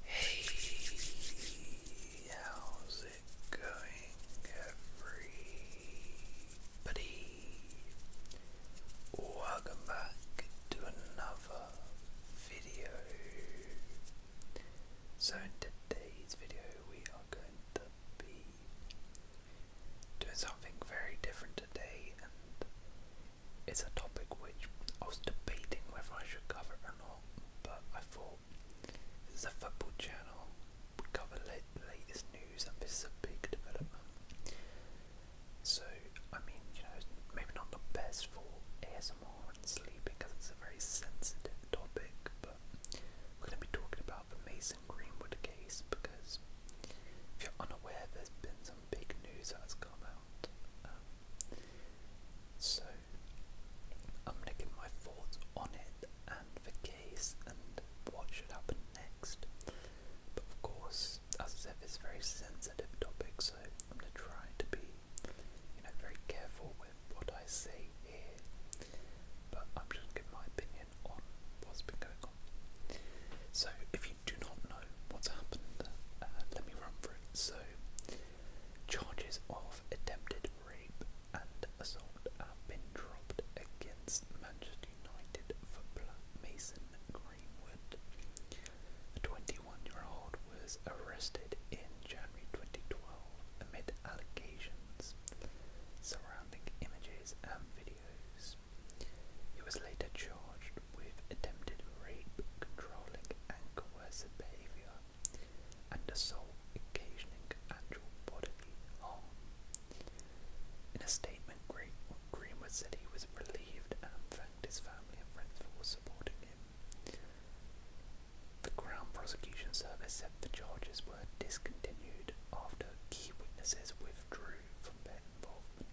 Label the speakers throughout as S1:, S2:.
S1: Hey, how's it going, everybody? Welcome back to another video. So, in today's video, we are going to be doing something very different today, and it's a topic which I was debating whether I should cover or not channel, but I thought this is a football channel. We cover la latest news, and this is a big development. So, I mean, you know, maybe not the best for ASMR and sleep because it's a very sensitive topic, but we're going to be talking about the Mason Greenwood case because if you're unaware, there's been some big news that has come out. Um, so I'm going to give my thoughts on it and the case and what should happen next. But of course, as I said, it's a very sensitive topic, so I'm going to try to be, you know, very careful with what I say here. But I'm just going to give my opinion on what's been going on. So if you do not know what's happened, uh, let me run through it. So Charges of attempted rape and assault have been dropped against Manchester United for footballer Mason Greenwood. The 21-year-old was arrested in January 2012 amid allegations surrounding images and videos. He was later charged with attempted rape, controlling and coercive behavior, and assault occasioning actual bodily harm. In a statement, Greenwood said he was relieved and thanked his family and friends for supporting him. The Crown Prosecution Service said the charges were discontinued after key witnesses withdrew from their involvement.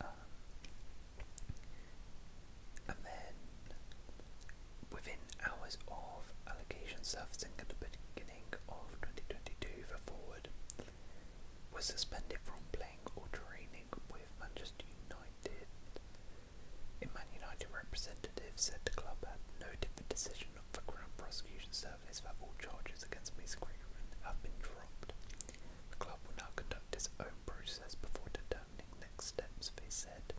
S1: Um, and then within hours of allocation surfacing beginning of 2022 for was suspended from playing or training with Manchester United. In Man United representative said the club had noted the decision of the Crown Prosecution Service that all charges against Mason Greenwood have been dropped. The club will now conduct its own process before determining next steps, they said.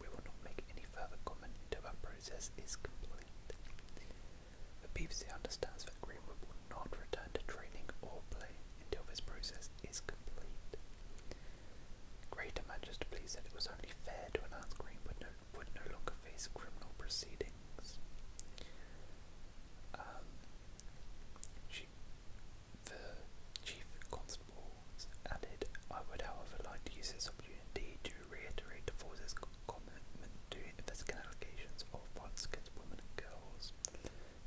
S1: We will not make any further comment until our process is complete. The BBC understands that Greenwood will not return to training or play until this process is complete. Greater Manchester Police said it was only fair to announce Greenwood would no longer face criminal proceedings. Um, she, the chief constable added, I would however like to use this opportunity to reiterate the force's commitment to investigating allegations of violence against women and girls,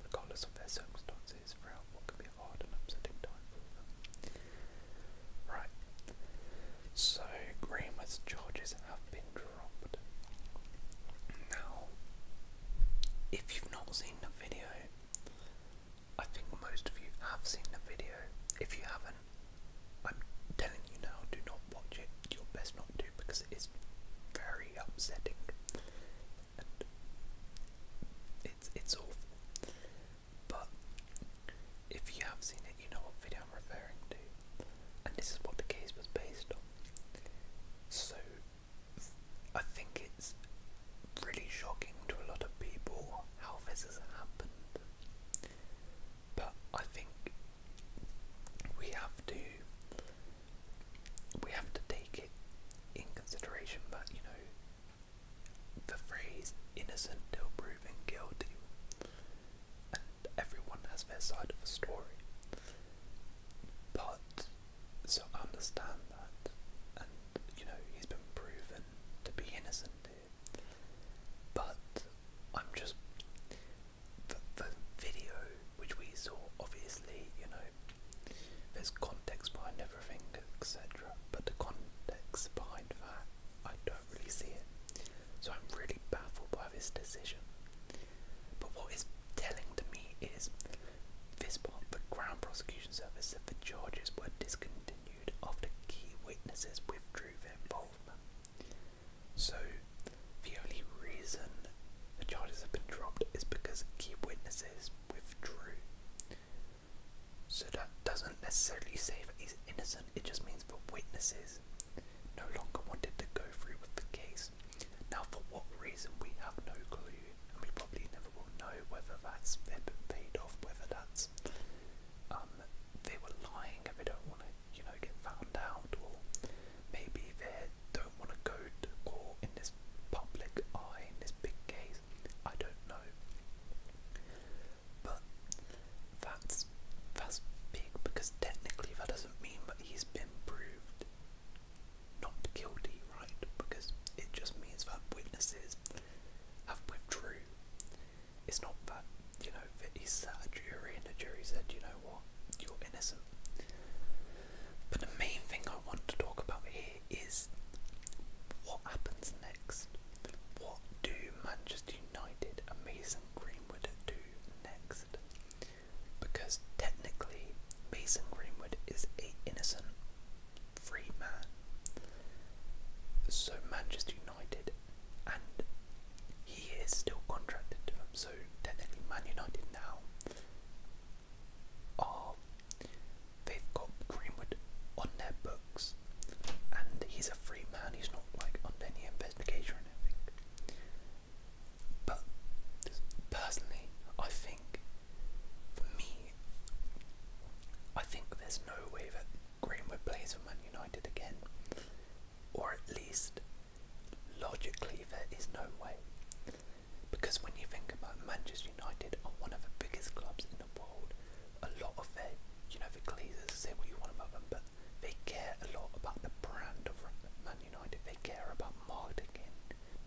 S1: regardless of their circumstances, throughout what can be a hard and upsetting time for them. Right, so Greenwood's charges have been now, if you've not seen the video, I think most of you have seen the video. If you haven't, I'm telling you now, do not watch it. You're best not to because it is very upsetting. it's it's awful. But if you have seen it, you know what video I'm referring to and this is what the case was based on. So I think it's really shocking to a lot of people how this has happened. But I think we have to we have to take it in consideration But you know, the phrase innocent till proven guilty and everyone has their side of the story. But so I understand that, and you know he's been proven to be innocent But I'm just the, the video which we saw, obviously, you know, there's context behind everything, etc. But the context behind that, I don't really see it. So I'm really baffled by this decision. But what is telling to me is this part the Crown Prosecution Service said the charges were discontinued after key witnesses withdrew their involvement. So the only reason the charges have been dropped is because key witnesses withdrew. So that doesn't necessarily say that he's innocent, it just means the witnesses no longer wanted to go through with the case. Now, for what reason, we have no clue, and we probably never will know whether that's they've been paid off, whether that's um, they were lying and they don't want to, you know, get found out, or maybe they don't want to go to court in this public eye in this big case. I don't know. But that that's big because technically that doesn't mean that he's been proved not guilty, right? Because it just means that witnesses have withdrew. It's not that, you know, that he sat a jury and the jury said, you know what, you're innocent. But the main thing I want to talk about here is what happens next. What do Manchester United, Amazing Greenwood do next. Because technically, Mason Greenwood is a innocent free man. So Manchester United, and he is still contracted to them. So technically, Man United now are they've got Greenwood on their books, and he's a free man. He's not like under any investigation or anything. But personally, I think for me, I think there's no way that Greenwood plays for Man United again, or at least logically, there is no way. Because when you think about Manchester United are one of the biggest clubs in the world, a lot of their, you know, the Glazers say what you want about them, but they care a lot about the brand of Man United. They care about marketing,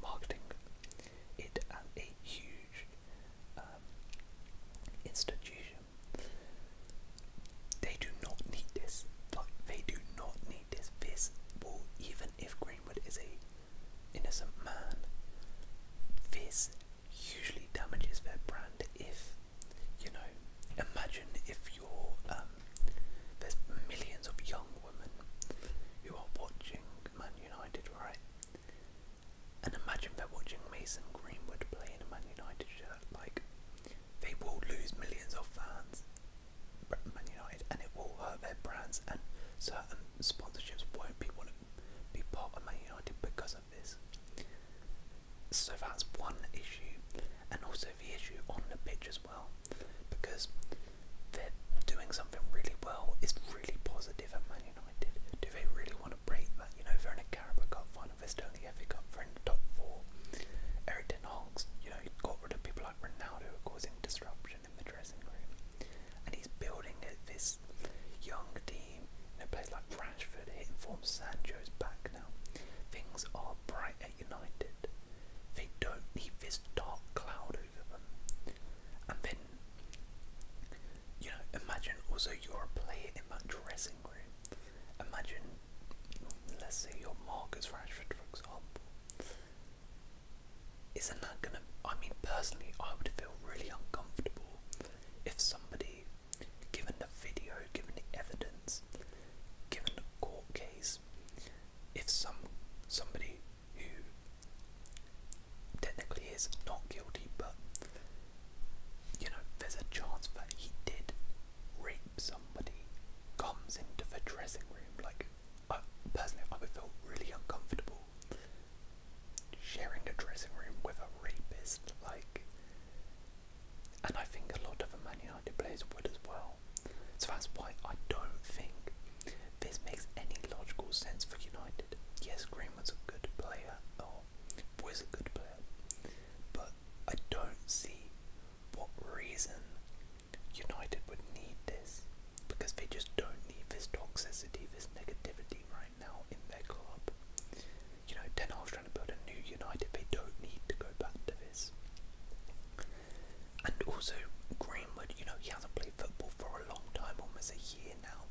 S1: marketing it as a huge um, institution. They do not need this. Like they do not need this. This will even if Greenwood is a innocent man. This usually damages their brand if you know, imagine if you're, um, there's millions of young women who are watching Man United, right? And imagine they're watching Mason Greenwood play in a Man United shirt. Like, they will lose millions of fans, Man United, and it will hurt their brands. And certain sponsorships won't be want to be part of Man United because so that's one issue, and also the issue on the pitch as well, because they're doing something really well. is really positive at Man United. Do they really want to break that? You know, they're in a Carabao Cup final, they're still in the FA Cup, they're in the top four. Eric Ten Hag's, you know, got rid of people like Ronaldo causing disruption in the dressing room, and he's building this young team. You know, players like Ramsey Rashford hitting form Sancho's back now. Things are bright at United. They don't need this dark cloud over them. And then, you know, imagine also you're a in that dressing room. Imagine, let's say you Marcus Rashford, for example. Isn't that gonna? I mean, personally, I would feel really uncomfortable if somebody given the video, given the evidence, given the court case, if some somebody who technically is not guilty, but you know, there's a chance that he did rape somebody, comes into the dressing room, like I, personally, I would feel really uncomfortable sharing the dressing room with a rapist, like and I think a lot of the Man United players would as well. So that's why I don't think this makes any logical sense for United. Yes, Greenwood's a good player, or oh, was a good player, but I don't see what reason United would need this because they just don't need this toxicity, this negativity right now in their club. You know, Ten Hag's trying to build a new United. They don't need to go back to this. And also, Greenwood, you know, he hasn't played football for a long time, almost a year now.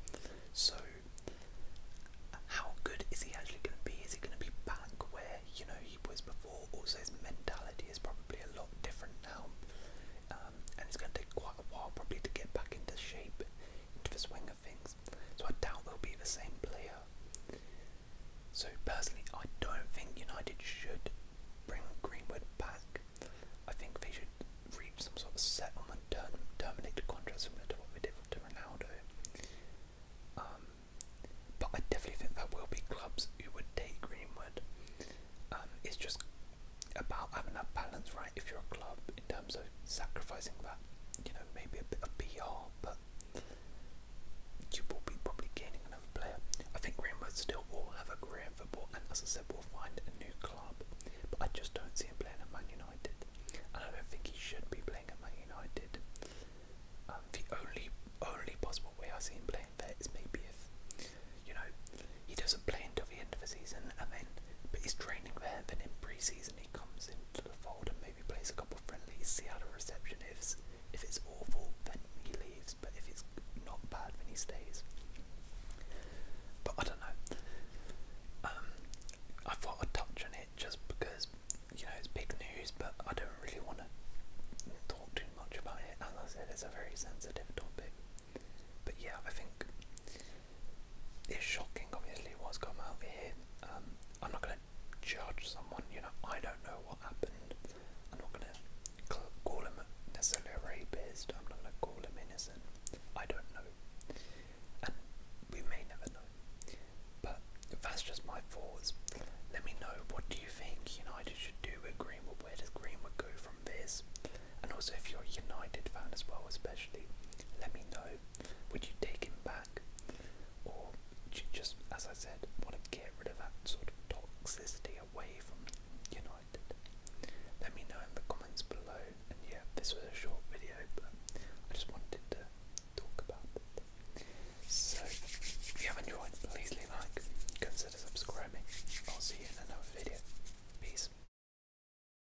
S1: So, how good is he actually going to be? Is he going to be back where, you know, he was before? Also, his mentality is probably a lot different now. Um, and it's going to take quite a while probably to get back into shape, into the swing of things. So I doubt they'll be the same player. So personally, I don't think United should bring Greenwood back. I think they should reach some sort of settlement, term, terminate the contract similar to what we did to Ronaldo. Um, but I definitely think there will be clubs who would take Greenwood. Um, it's just about having that balance right. If you're a club, in terms of sacrificing that, you know, maybe a bit of PR, but you will be probably gaining another player. I think Greenwood still will have a career in football, and as I said, we will find a new club, but I just don't see him playing at Man United, and I don't think he should be playing at Man United. Um, the only only possible way I see him playing there is maybe if, you know, he doesn't play until the end of the season and then, but he's training there, then in pre season he comes into the fold and maybe plays a couple friendlies, see how the reception is. If it's awful, then he leaves, but if it's not bad, then he stays. But I don't know. Um, I thought I'd touch on it just because, you know, it's big news, but I don't really want to talk too much about it. As I said, it's a very sensitive topic. But yeah, I think it's shocking, obviously, what's come out here. Um, I'm not going to judge someone, you know, I don't know what happened. I'm not going to call him necessarily a rapist, I'm not going to call him innocent. I don't know. And we may never know. But that's just my thoughts. Let me know what do you think United should do with Greenwood? Where does Greenwood go from this? And also, if you're a United fan as well, especially, let me know would you take him back? Or would you just, as I said, want to get rid of that sort of toxicity away from United? Let me know in the comments below. And yeah, this was a short video, but I just wanted to talk about it. So, if you have enjoyed, please leave like, consider subscribing. I'll see you in another video. Peace.